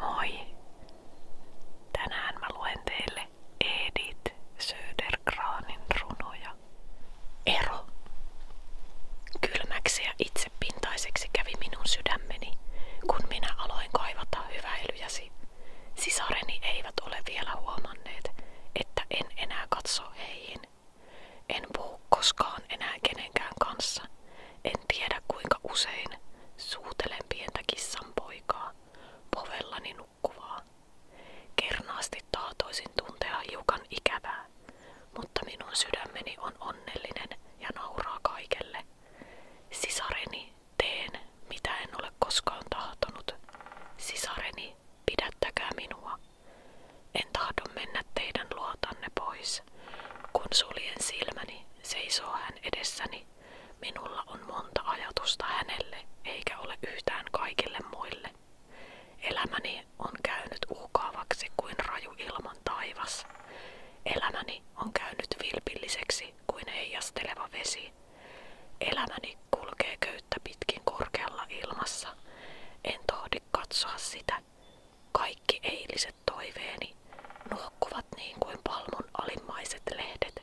Moi! Tänään mä luen teille Edith Södergranin runoja. Ero. Kylmäksi ja itsepintaiseksi kävi minun sydämeni, kun minä aloin kaivata hyväilyjäsi. Sisareni eivät ole vielä huomanneet, että en enää katso heihin. En puhu koskaan enää kenenkään kanssa, en tiedä kuinka usein suutelen pientä kissan Kernaasti tahtoisin tuntea hiukan ikävää, mutta minun sydämeni on onnellinen ja nauraa kaikelle. Sisareni teen, mitä en ole koskaan tahtonut. Sisareni, pidättäkää minua. En tahdo mennä teidän pois, kun suljen silmäni Seisoo hän edessäni. Minulla on monta ajatusta hänelle, eikä ole yhtään kaikille muille. Elämäni on käynyt uhkaavaksi kuin raju ilman taivas. Elämäni on käynyt vilpilliseksi kuin heijasteleva vesi. Elämäni kulkee köyttä pitkin korkealla ilmassa. En tohdi katsoa sitä. Kaikki eiliset toiveeni nuokkuvat niin kuin palmun alimmaiset lehdet.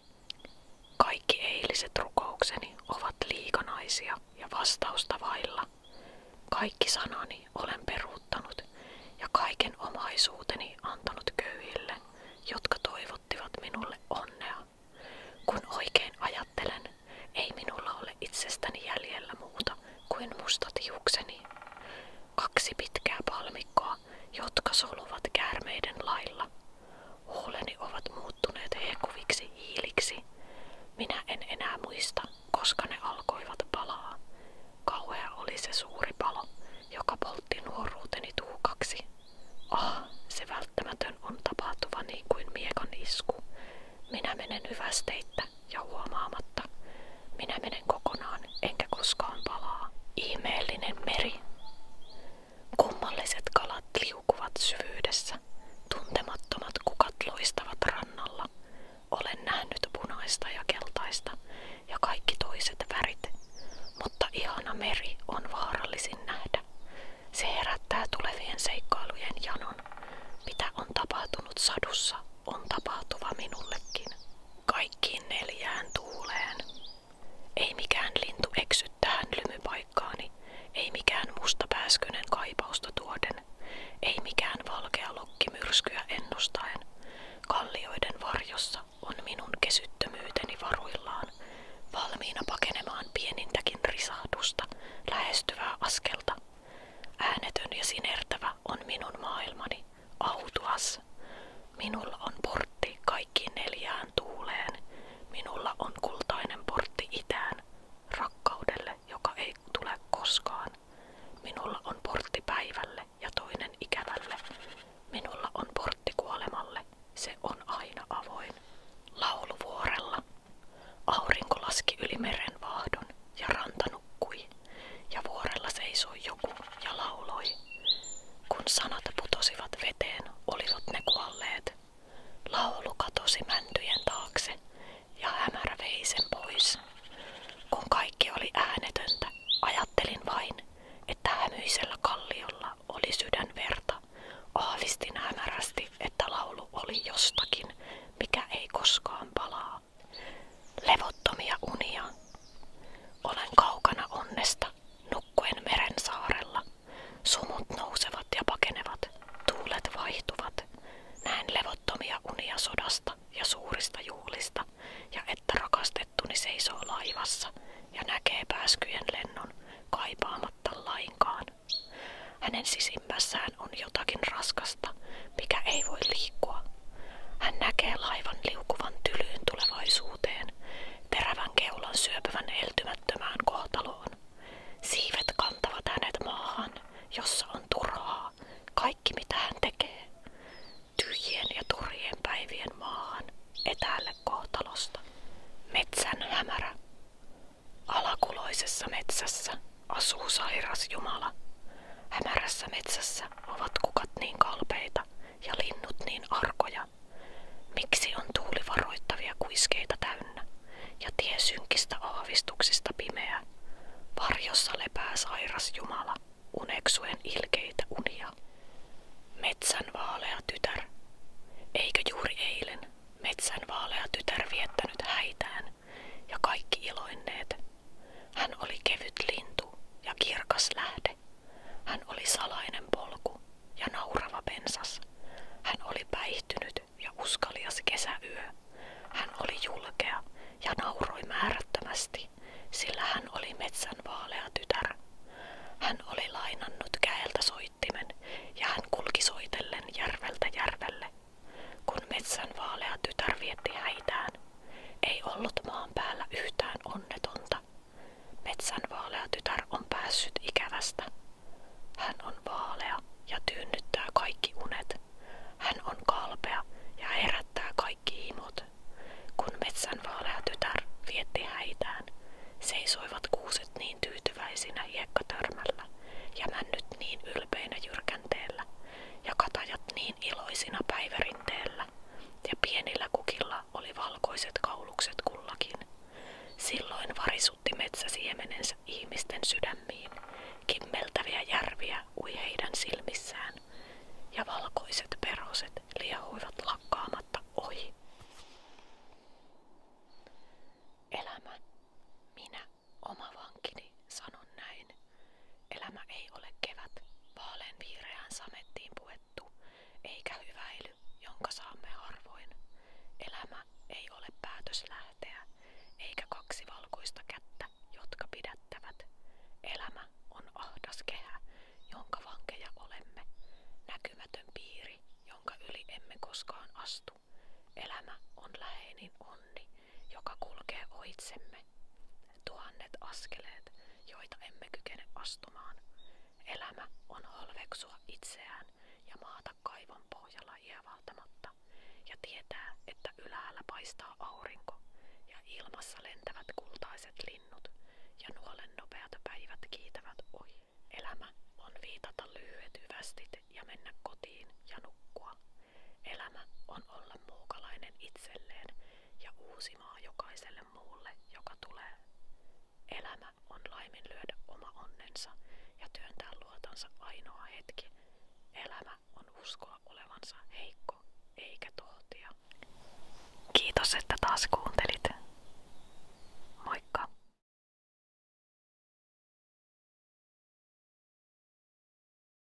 Kaikki eiliset rukoukseni ovat liikanaisia ja vastausta vailla. Kaikki sanani olen peruuttanut ja kaiken omaisuuteni antanut köyhille, jotka toivottivat minulle onnea. Kun oikein ajattelen, ei minulla ole itsestäni jäljellä muuta kuin mustat hiukseni kaksi pitkää palmikkoa, jotka soluvat käärmeiden lailla. Huuleni ovat muuttuneet hekuviksi hiiliksi. Minä en enää muista, koska ne alkoivat palaa. Kauhea oli se suuri palo, joka poltti nuoruuteni tuukaksi. Ah, se välttämätön on tapahtuva niin kuin miekan isku. Minä menen hyvästeittä ja huomaamatta. Minä menen kokonaan, enkä koskaan palaa. Ihmeellinen meri. Kummalliset kalat liukuvat syvyydessä. Tuntemattomat kukat loistavat rannalla. Olen nähnyt punaista ja keltaista ja kaikki toiset värit. Mutta ihana meri on vaarallisin nähdä. Se herättää tulevien seikkailujen janon. Mitä on tapahtunut sadussa on tapahtuva minullekin, kaikkiin neljään tuuleen. Ei mikään lintu eksy tähän lymypaikkaani, ei mikään musta pääskynen kaipausta tuoden, ei mikään valkea lokki myrskyä ennustaen. Kallioiden varjossa on minun kesyttömyyteni varuillaan, valmiina pakenemaan pienintäkin risahdusta, lähestyvää askelta. Äänetön ja sinertävä on minun maailmani, autuas. Minulla on portti kaikki neljään tuuleen. Minulla on kultainen portti itään, rakkaudelle, joka ei tule koskaan. Minulla on portti päivälle ja toinen ikävälle. Minulla on portti kuolemalle, se on aina avoin. Lauluvuorella. Aurinko laski yli meren vaahdon ja ja vuorella seisoi joku ja lauloi. Kun sanat putosivat veteen, olivat ne kuolleet. Laulu katosi mäntyjen taakse, ja hämärä vei pois. Kun kaikki oli äänetöntä, ajattelin vain, että hämyisellä kalliolla oli sydänverta. Aavistin hämärästi, että laulu oli jostakin, mikä ei koskaan palaa. Levottomia unia. Olen kaukana onnesta, nukkuen meren saarella. Sumut nousevat ja pakenevat, tuulet vaihtuvat. Näen levottomia unia sodasta ja suurista juhlista, ja että rakastettuni seisoo laivassa ja näkee pääskyjen lennon kaipaamatta lainkaan. Hänen sisimmässään on jotakin raskasta, mikä ei voi liikkua hän näkee laivan liukuvan tylyyn tulevaisuuteen, terävän keulan syöpyvän eltymättömään kohtaloon. Siivet kantavat hänet maahan, jossa on turhaa, kaikki mitä hän tekee. Tyhjien ja turhien päivien maahan, etäälle kohtalosta. Metsän hämärä. Alakuloisessa metsässä asuu sairas Jumala. Hämärässä metsässä ovat kukat niin kalpeita ja linnut niin arkoja. Miksi on tuuli varoittavia kuiskeita täynnä ja tie synkistä aavistuksista pimeä? Varjossa lepää sairas Jumala, uneksuen ilkeitä unia. Metsän vaalea tytär. Eikö juuri eilen metsän vaalea tytär viettänyt häitään ja kaikki iloinneet? Hän oli kevyt lintu ja kirkas lähde. Hän oli salainen polku ja naurava pensas. Hän oli päihtynyt ja uskalias kesäyö. Hän oli julkea ja nauroi määrättömästi, sillä hän oli metsän tytär. Hän oli lainannut käeltä soittimen ja hän kulki soitellen järveltä järvelle. Kun metsän tytär vietti häitään, ei ollut maan päällä yhtään onnetonta. Metsän vaalea tytär on päässyt ikävästä. Hän on vaalea ja tyynnyttää kaikki unet. Hän on kalpea ja herättää kaikki imot. Kun metsän vaalea tytär vietti häitään, seisoivat kuuset niin tyytyväisinä hiekkatörmällä ja männyt niin ylpeinä jyrkänteellä, ja katajat niin iloisina päivärinteellä, ja pienillä kukilla oli valkoiset kaulukset kullakin. Silloin varisutti metsäsiemenensä ihmisten sydämiin, kimmeltäviä järviä ui heidän silmissään, ja valkoiset peroset liehuivat lakkaamatta ohi. Elämä, minä, oma vankini, sanon näin, Elämä ei ole kevät, vaalean viireään samettiin puettu, eikä hyväily, jonka saamme harvoin. Elämä ei ole päätös eikä kaksi valkoista kättä, jotka pidättävät. Elämä on ahdas kehä, jonka vankeja olemme, näkymätön piiri, jonka yli emme koskaan astu. Elämä on läheinen onni, joka kulkee ohitsemme. Tuhannet askeleet, joita emme kykene astumaan. Elämä on halveksua itseään ja maata kaivon pohjalla hievaltamatta ja tietää, että ylhäällä paistaa aurinko ja ilmassa lentävät kultaiset linnut ja nuolen nopeat päivät kiitävät ohi. Elämä on viitata lyhyet hyvästit ja mennä kotiin ja nukkua Elämä on olla muukalainen itselleen ja uusimaa jokaiselle muulle, joka tulee. Elämä on laiminlyödä oma onnensa ja työntää luotansa ainoa hetki. Elämä on uskoa olevansa heikko eikä tohtia. Kiitos, että taas kuuntelit. Moikka!